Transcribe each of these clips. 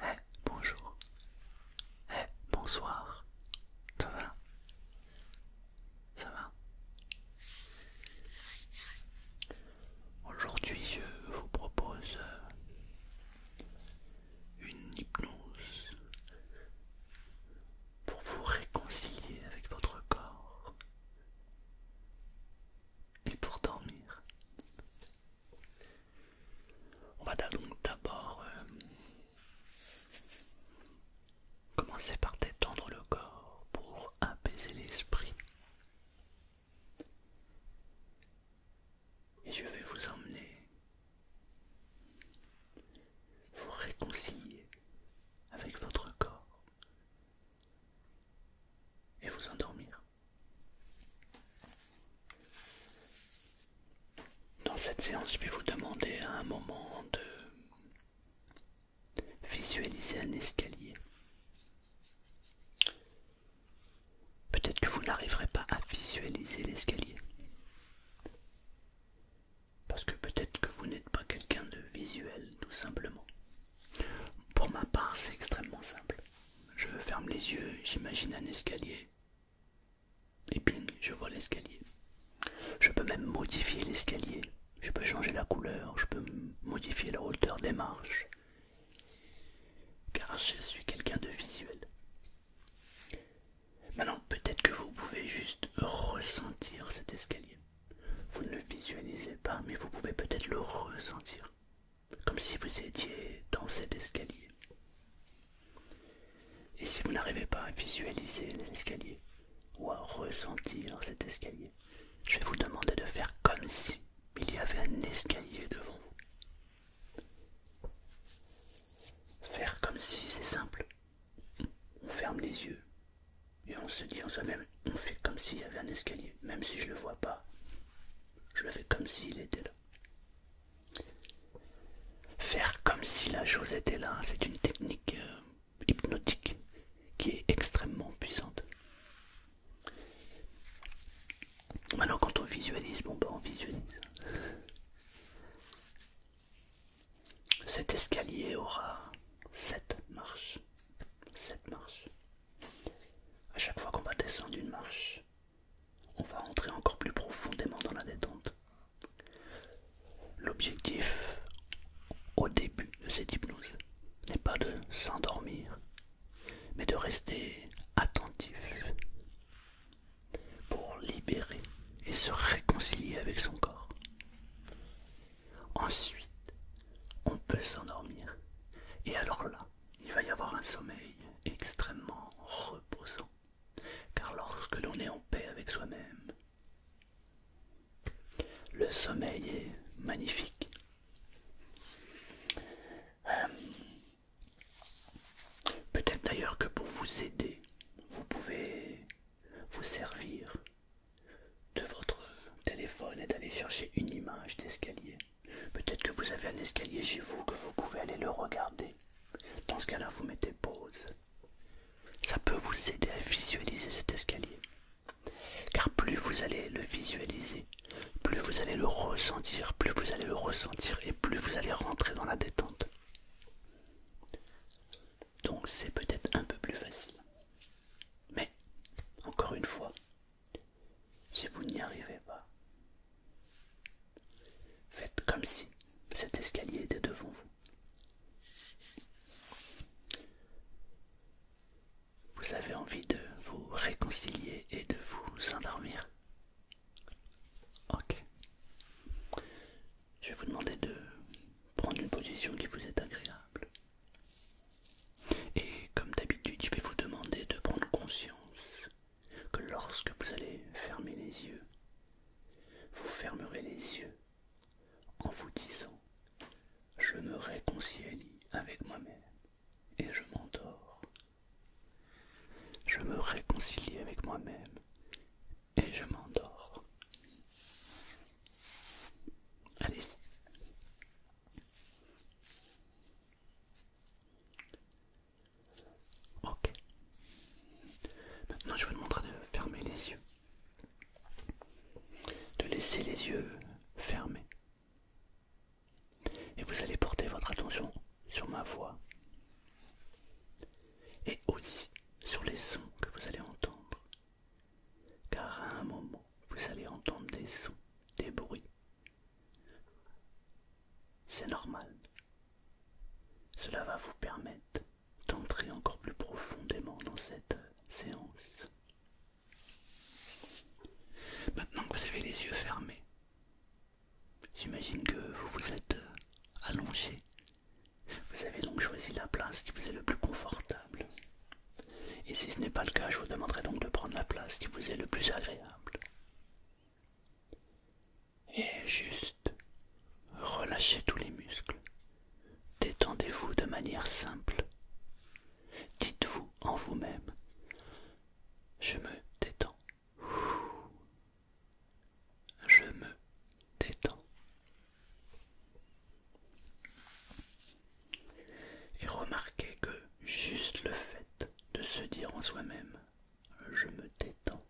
Eh, bonjour. eh bonsoir. Ça va Ça va Aujourd'hui, je vous propose euh, une hypnose pour vous réconcilier avec votre corps et pour dormir. On va donc d'abord euh, commencer par détendre le corps pour apaiser l'esprit. Et je vais vous emmener vous réconcilier avec votre corps et vous endormir. Dans cette séance, je vais vous demander à un moment de visualiser un escalier. Peut-être que vous n'arriverez pas à visualiser l'escalier. Parce que peut-être que vous n'êtes pas quelqu'un de visuel, tout simplement. Pour ma part, c'est extrêmement simple. Je ferme les yeux, j'imagine un escalier. Et ping, je vois l'escalier. Je peux même modifier l'escalier. Je peux changer la couleur, je peux modifier la hauteur des marches. Car je suis quelqu'un de visuel. Maintenant, peut-être que vous pouvez juste ressentir cet escalier. Vous ne le visualisez pas, mais vous pouvez peut-être le ressentir. Comme si vous étiez dans cet escalier. Et si vous n'arrivez pas à visualiser l'escalier ou à ressentir cet escalier, je vais vous demander de faire comme si il y avait un escalier devant vous. Faire comme si, c'est simple on ferme les yeux et on se dit en soi-même, on fait comme s'il y avait un escalier, même si je ne le vois pas, je le fais comme s'il était là. Faire comme si la chose était là, c'est une technique euh, hypnotique qui est extrêmement puissante. Maintenant quand on visualise, bon bah ben on visualise. Cet escalier aura sept marches. Sept marches. À chaque fois qu'on va descendre une marche, on va entrer encore plus profondément dans la détente. L'objectif au début de cette hypnose n'est pas de s'endormir, mais de rester attentif pour libérer et se réconcilier avec son corps. Ensuite, on peut s'endormir. Et alors là, il va y avoir un sommeil extrêmement reposant. Car lorsque l'on est en paix avec soi-même, le sommeil est magnifique. Euh, peut-être d'ailleurs que pour vous aider vous pouvez vous servir de votre téléphone et d'aller chercher une image d'escalier. Peut-être que vous avez un escalier chez vous que vous pouvez aller le regarder. Dans ce cas-là, vous mettez pause. Ça peut vous aider à visualiser cet escalier. Car plus vous allez le visualiser, plus vous allez le ressentir, plus vous allez le ressentir et plus vous allez rentrer dans la détente. Donc c'est peut-être un peu plus facile. Mais, encore une fois, si vous n'y arrivez pas, faites comme si cet escalier était devant vous. Vous avez envie de vous réconcilier et de vous endormir. Ok. Je vais vous demander de prendre une position qui vous est agréable. Et comme d'habitude, je vais vous demander de prendre conscience que lorsque vous allez fermer les yeux, vous fermerez les yeux en vous disant je me réconcilie avec moi-même et je m'endors. Je me réconcilie avec moi-même et je m'endors. Allez-y. Ok. Maintenant, je vous demanderai de fermer les yeux. De laisser les yeux fermés. Et vous allez porter votre attention sur ma voix et aussi sur les sons que vous allez entendre. Car à un moment, vous allez entendre des sons, des bruits. C'est normal. Cela va vous permettre d'entrer encore plus profondément dans cette euh, séance. Maintenant que vous avez les yeux fermés, j'imagine que vous vous êtes euh, allongé vous avez donc choisi la place qui vous est le plus confortable. Et si ce n'est pas le cas, je vous demanderai donc de prendre la place qui vous est le plus agréable. Et juste, relâchez tous les muscles. Détendez-vous de manière simple. Dites-vous en vous-même, je me détends. Je me détends. Et remarquez que juste le fait de se dire en soi-même je me détends,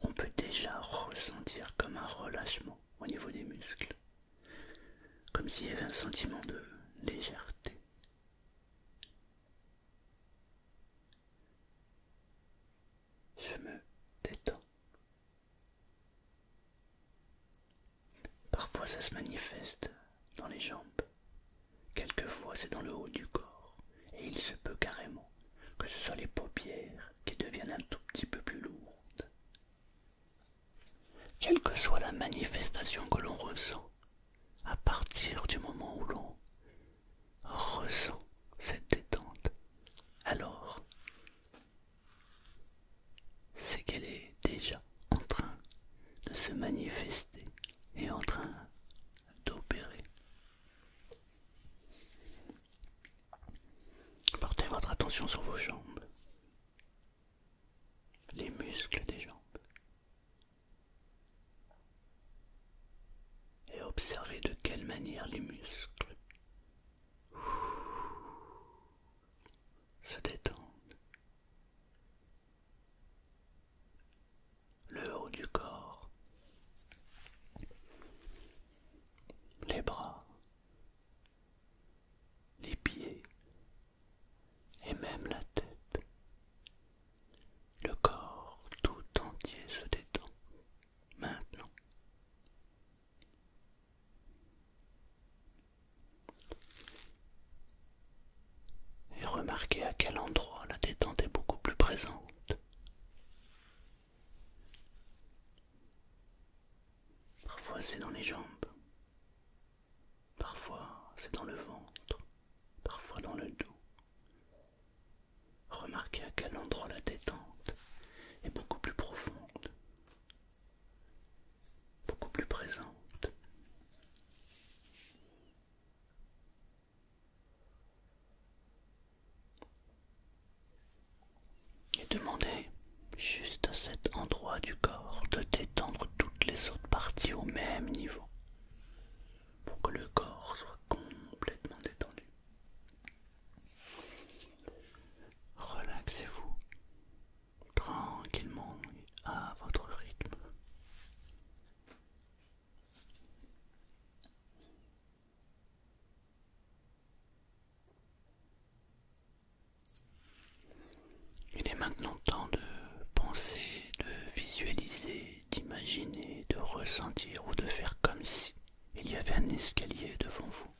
on peut déjà ressentir comme un relâchement au niveau des muscles, comme s'il y avait un sentiment de légèreté. Je me détends. Parfois ça se manifeste dans les jambes, quelquefois c'est dans le haut du corps, et il se peut carrément que ce soit les paupières qui deviennent un tout petit peu plus lourdes. Quelle que soit la manifestation que l'on ressent, à partir du moment où l'on ressent cette détente, alors c'est qu'elle est déjà en train de se manifester et en train d'opérer. Portez votre attention sur vos jambes, les muscles des jambes, et observez de quelle manière les muscles se détendent. Le haut du corps, les bras, les pieds et même la tête. Le corps tout entier se détend maintenant. Et remarquez à quel endroit la détente est beaucoup plus présente. Parfois c'est dans les jambes, parfois c'est dans le ventre, parfois dans le dos, Remarquez à quel endroit la détente est beaucoup plus profonde, beaucoup plus présente. Et demandez juste à cet endroit du corps de détendre toutes les autres parties au même niveau pour que le corps soit complètement détendu. Relaxez-vous tranquillement à votre rythme. Il est maintenant temps de penser, de visualiser d'imaginer, de ressentir ou de faire comme si il y avait un escalier devant vous.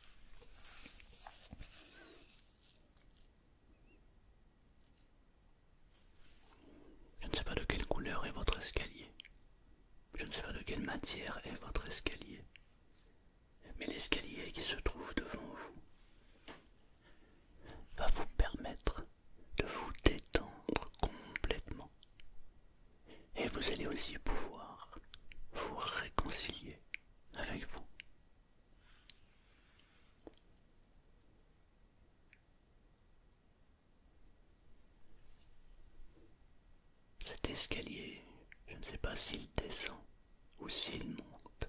Je ne sais pas de quelle couleur est votre escalier. Je ne sais pas de quelle matière est votre escalier. Mais l'escalier qui se trouve devant vous va vous permettre de vous détendre complètement. Et vous allez aussi pouvoir vous réconcilier avec vous. Cet escalier, je ne sais pas s'il descend ou s'il monte.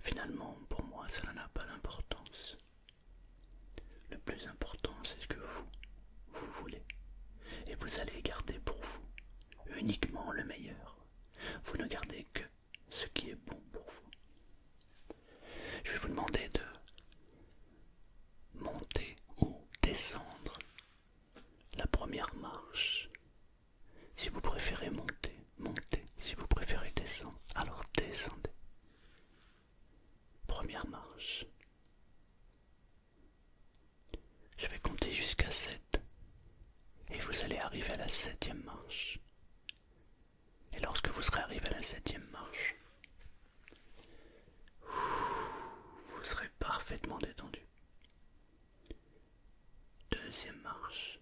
Finalement, pour moi, cela n'a pas d'importance. Le plus important, c'est ce que vous, vous voulez. Et vous allez garder pour vous uniquement le meilleur. Vous ne gardez que ce qui est bon pour vous. Je vais vous demander de monter ou descendre la première marche. Si vous préférez monter, montez. Si vous préférez descendre, alors descendez. Première marche. Je vais compter jusqu'à 7 et vous allez arriver à la septième marche. Et lorsque vous serez arrivé à la septième marche, vous serez parfaitement détendu. Deuxième marche.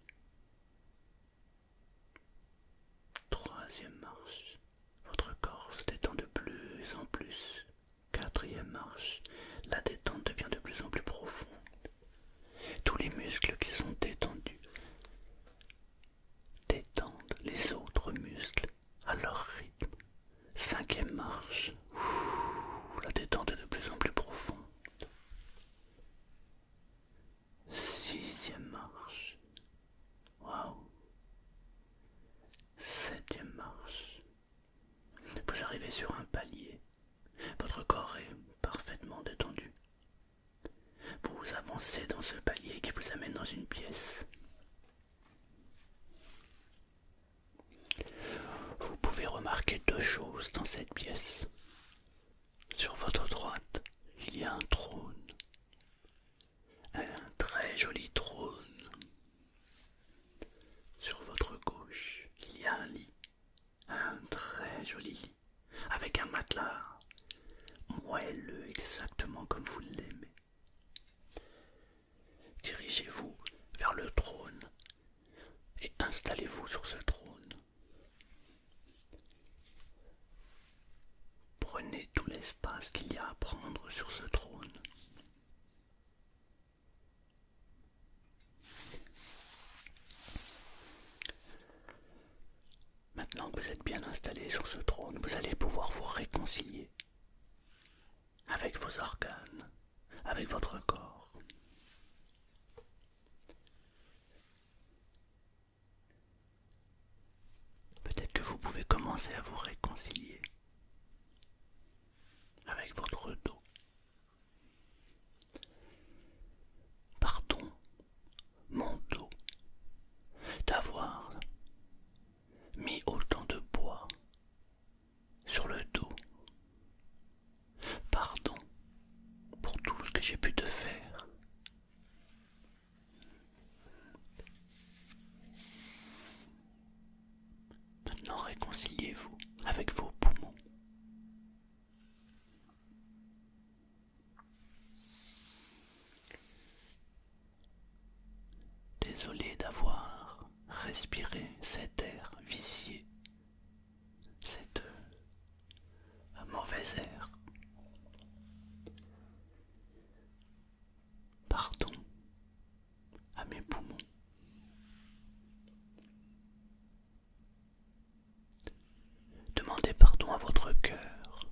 Troisième marche. Votre corps se détend de plus en plus. Quatrième marche, la détente devient de plus en plus profonde. Tous les muscles qui sont détendus détendent les autres muscles à leur rythme. Cinquième marche, la détente est de plus en plus profonde. Sixième marche, Waouh Septième marche. Vous arrivez sur un palier. Votre corps est parfaitement détendu. Vous avancez dans ce palier qui vous amène dans une pièce. Vous pouvez remarquer deux choses dans cette pièce. Sur votre droite, il y a un trône un très joli trône. Sur votre gauche, il y a un lit, un très joli lit, avec un matelas moelleux exactement comme vous l'aimez. Dirigez-vous vers le trône et installez-vous sur ce trône. Prenez tout l'espace qu'il y a à prendre sur ce trône. Maintenant que vous êtes bien installé sur ce trône, vous allez pouvoir vous réconcilier avec vos organes, avec votre corps. Peut-être que vous pouvez commencer à vous réconcilier avec votre dos. Pardon, mon dos, d'avoir mis autant de poids sur le dos. Pardon pour tout ce que j'ai pu te faire Maintenant réconciliez-vous avec vos poumons. Désolé d'avoir respiré cet air vicié, cette euh, mauvaise air. Pardon à mes poumons. Demandez pardon à votre cœur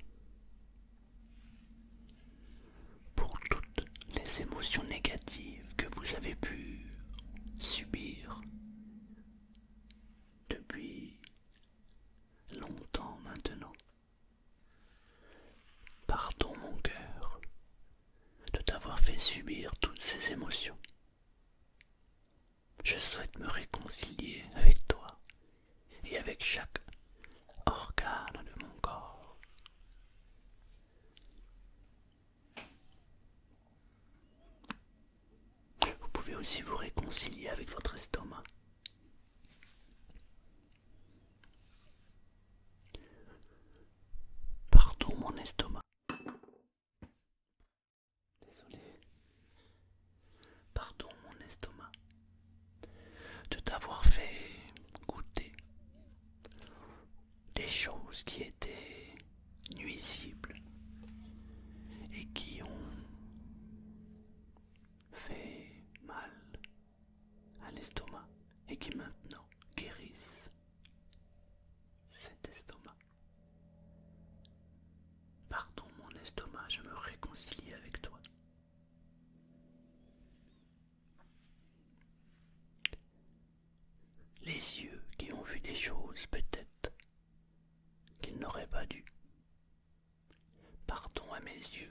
pour toutes les émotions négatives que vous avez pu subir depuis longtemps maintenant. Pardon mon cœur de t'avoir fait subir toutes ces émotions. Je souhaite me réconcilier avec toi et avec chaque organe de mon corps. Vous pouvez aussi vous réconcilier avec votre estomac. Pardon mon estomac. Désolé. Pardon mon estomac de t'avoir fait goûter des choses qui étaient nuisibles et qui ont fait mal à l'estomac et qui maintenant guérissent cet estomac. Pardon mon estomac, je me réconcilie avec toi. Les yeux qui ont vu des choses peut-être qu'ils n'auraient pas dû, Pardon à mes yeux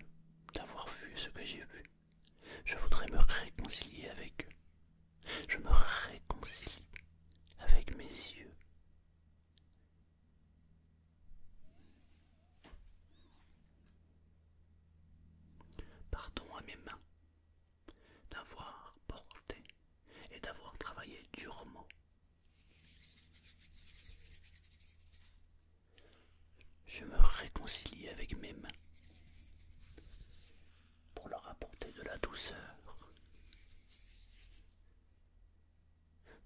d'avoir vu ce que j'ai vu. Je voudrais me réconcilier avec eux. Je me réconcilie avec mes yeux. Pardon à mes mains d'avoir porté et d'avoir travaillé durement je me réconcilie avec mes mains pour leur apporter de la douceur.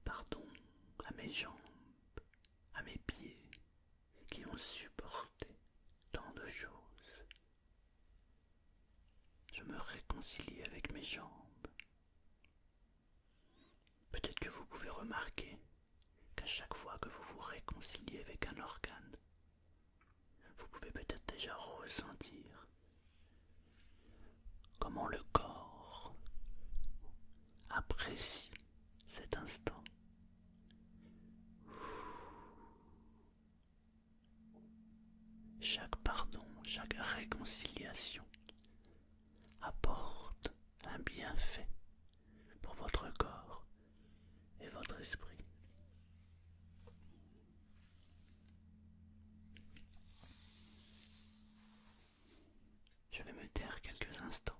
Pardon à mes jambes, à mes pieds qui ont supporté tant de choses. Je me réconcilie avec mes jambes, Peut-être que vous pouvez remarquer qu'à chaque fois que vous vous réconciliez avec un organe, vous pouvez peut-être déjà ressentir comment le corps apprécie cet instant. Chaque pardon, chaque réconciliation apporte un bienfait pour votre corps et votre esprit. Je vais me taire quelques instants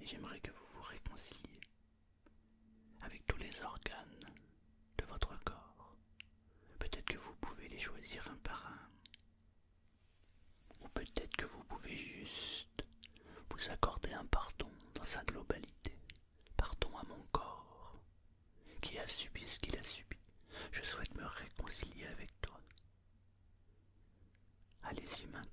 et j'aimerais que vous vous réconciliez avec tous les organes de votre corps. Peut-être que vous pouvez les choisir un par un ou peut-être que vous pouvez juste vous accorder un pardon dans sa globalité. Pardon à mon corps qui a subi ce qu'il a subi. Je souhaite me réconcilier avec toi. Allez-y maintenant.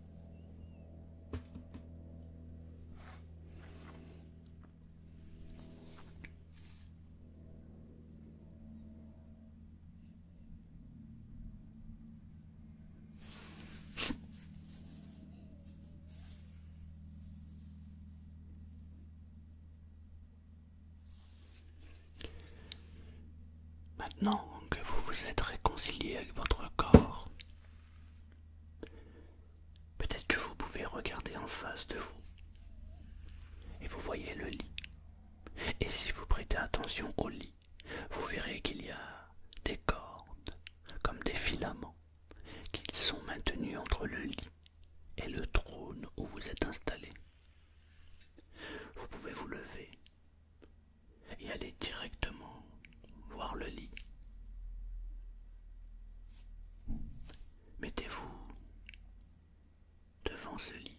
Maintenant que vous vous êtes réconcilié avec votre corps, Peut-être que vous pouvez regarder en face de vous et vous voyez le lit. Et si vous prêtez attention au lit, vous verrez qu'il y a des cordes, comme des filaments, qui sont maintenus entre le lit et le trône où vous êtes installé. Vous pouvez vous lever, et allez directement voir le lit. Mettez-vous devant ce lit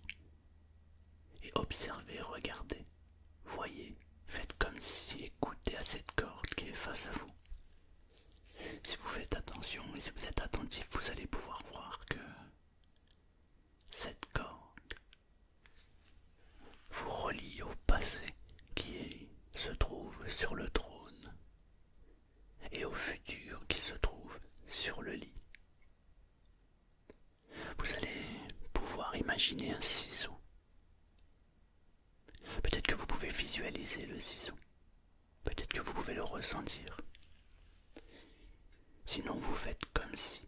et observez, regardez, voyez, faites comme si écoutez à cette corde qui est face à vous. Si vous faites attention et si vous êtes attentif, vous allez pouvoir voir que cette corde vous reliez au passé qui se trouve sur le trône et au futur qui se trouve sur le lit. Vous allez pouvoir imaginer un ciseau. Peut-être que vous pouvez visualiser le ciseau. Peut-être que vous pouvez le ressentir. Sinon, vous faites comme si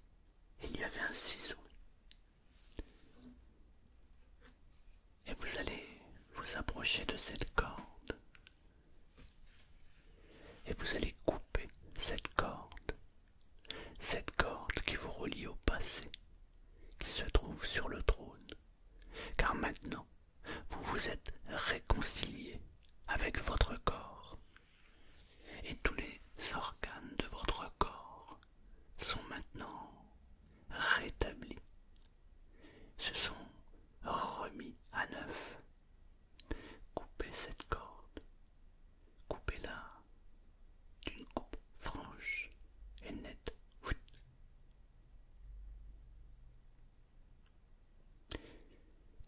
il y avait un ciseau et vous allez vous approcher de cette corde. Et vous allez couper cette corde. Cette corde qui vous relie au passé, qui se trouve sur le trône. Car maintenant, vous vous êtes réconcilié avec votre corps. Et tous les organes de votre corps sont maintenant rétablis, se sont remis à neuf. Coupez cette corde, coupez-la d'une coupe franche et nette.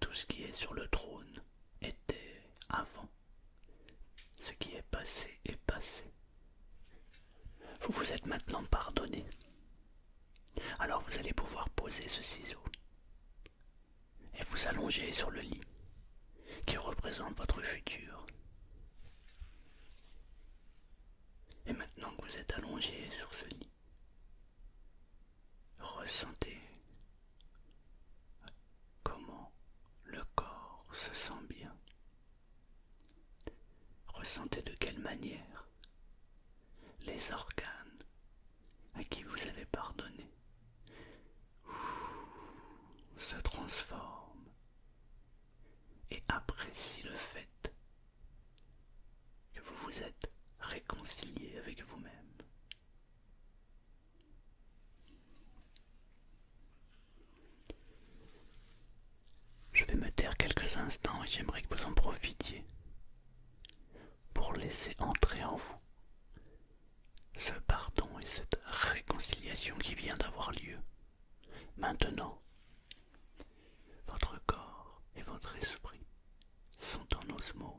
Tout ce qui est sur le trône était avant. Ce qui est passé est passé. Vous vous êtes maintenant pardonné. Alors vous allez pouvoir poser ce ciseau et vous allonger sur le lit qui représente votre futur. Et maintenant que vous êtes allongé sur ce lit, ressentez comment le corps se sent bien Ressentez de quelle manière les organes à qui vous avez pardonné se transforment et apprécient le fait que vous vous êtes réconcilié avec vous-même. Je vais me taire quelques instants et j'aimerais que vous en profitiez pour laisser entrer en vous ce pardon et cette réconciliation qui vient d'avoir lieu. Maintenant, votre corps et votre esprit sont en osmose.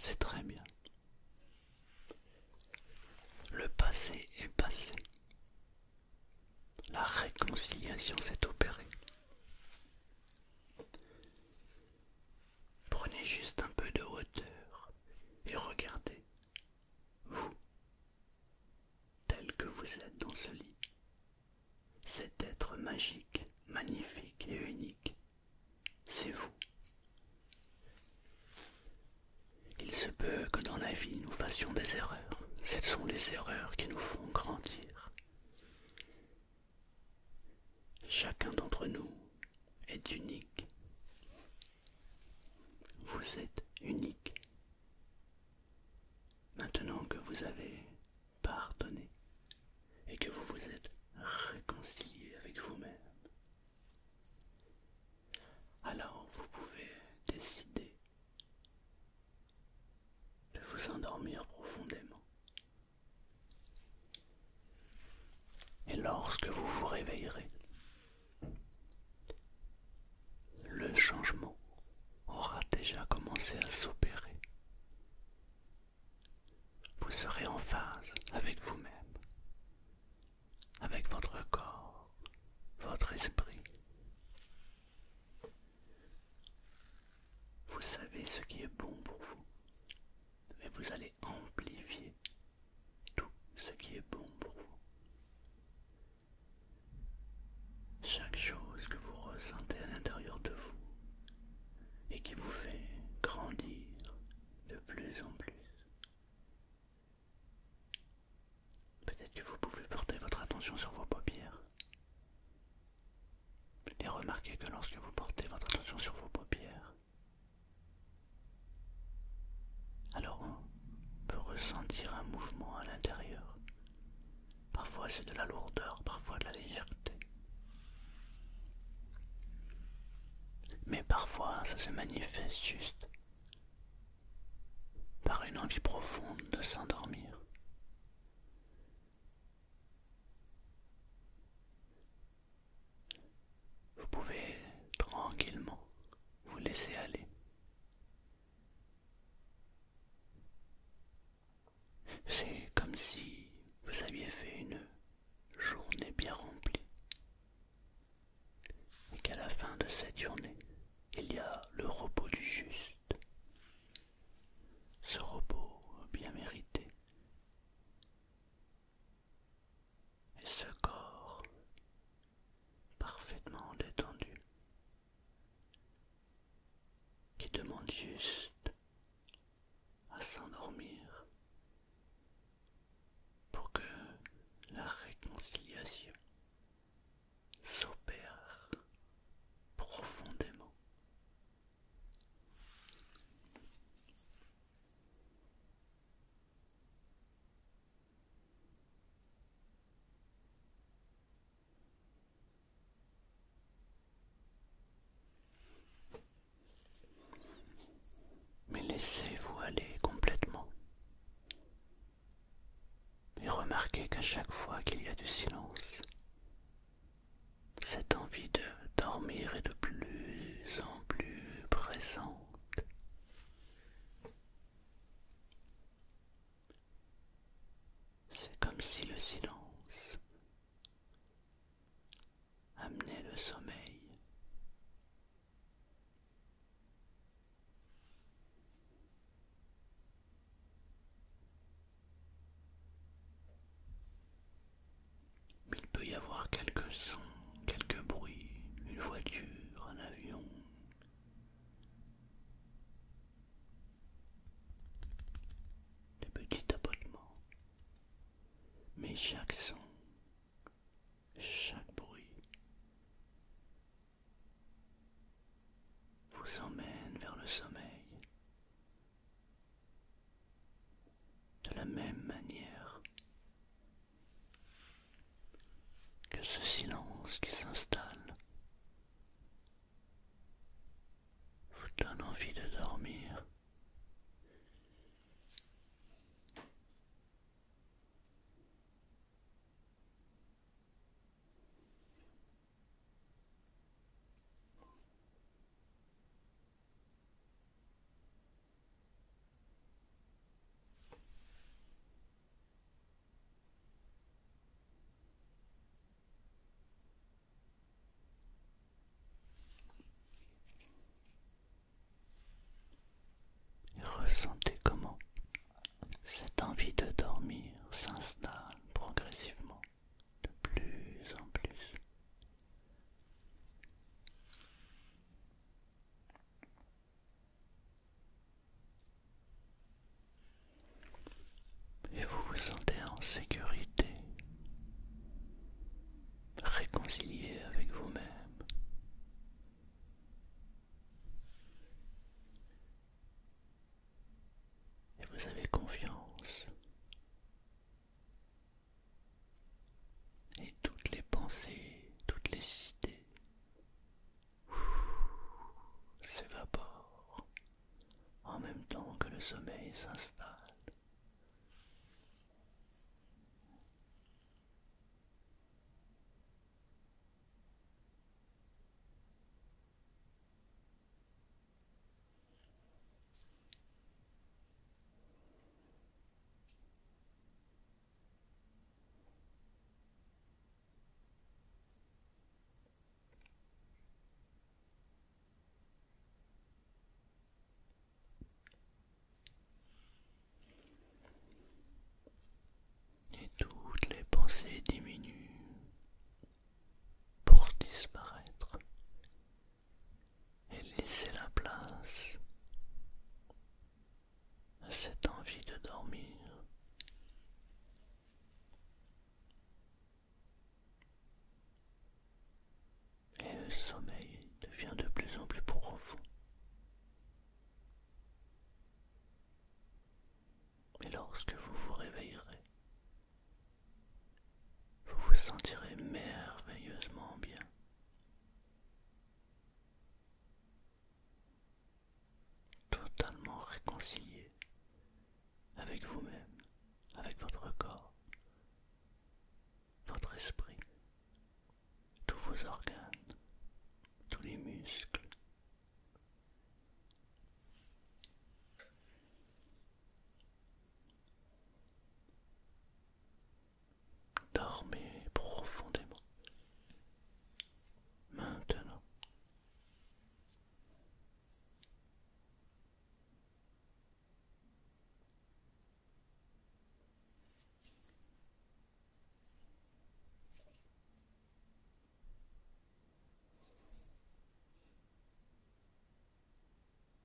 C'est très bien. Le passé est passé. La réconciliation s'est opérée. Prenez juste un peu de hauteur et regardez, vous, tel que vous êtes dans ce lit, cet être magique, magnifique et unique, c'est vous. Il se peut que dans la vie nous fassions des erreurs. Ce sont les erreurs qui nous font grandir. Chacun d'entre nous est unique. Vous êtes unique. Maintenant que vous avez pardonné et que vous vous êtes réconcilié avec vous-même, alors vous pouvez décider de vous endormir profondément et lorsque vous vous réveillerez, le changement aura déjà commencé à s'opérer. Vous serez en phase avec vous-même, avec votre corps, votre esprit. Vous savez ce qui est bon pour vous, mais vous allez amplifier tout ce qui est bon pour vous. Chaque chose que vous ressentez à l'intérieur de vous et qui vous fait grandir de plus en plus. Peut-être que vous pouvez porter votre attention sur vos paupières et remarquez que lorsque vous portez votre attention sur vos paupières, alors on peut ressentir un mouvement à l'intérieur. Parfois c'est de la lourdeur, parfois de la légèreté. Mais parfois ça se manifeste juste par une envie profonde de s'endormir. Vous pouvez tranquillement vous laisser aller. C'est comme si vous aviez fait une journée bien remplie et qu'à la fin de cette journée, il y a le repos du juste. Ce repos bien mérité et ce corps parfaitement détendu qui demande juste à s'endormir pour que la réconciliation s'opère profondément. Mais laissez-vous aller complètement. Et remarquez qu'à chaque fois qu'il y a du silence, cette envie de dormir est de plus en plus pressante. C'est comme si le silence amenait le sommeil. Il peut y avoir quelques sons, quelques bruits, une voiture, un avion. Des petits tapotements. Mais chaque son, chaque bruit vous emmène vers le sommeil, de la même manière que ce silence qui s'installe vous donne envie de dormir ressentez comment cette envie de dormir s'installe progressivement de plus en plus et vous vous sentez en sécurité, réconcilié avec vous-même. Et vous avez confiance et toutes les pensées, toutes les idées s'évaporent en même temps que le sommeil s'installe. Et toutes les pensées diminuent pour disparaître et laissez la place à cette envie de dormir. Et le sommeil devient de plus en plus profond. Et lorsque vous vous réveillerez, vous vous sentirez merveilleusement bien. Totalement réconcilié avec vous-même, avec votre corps, votre esprit, tous vos organes, tous les muscles. Dormez profondément. Maintenant.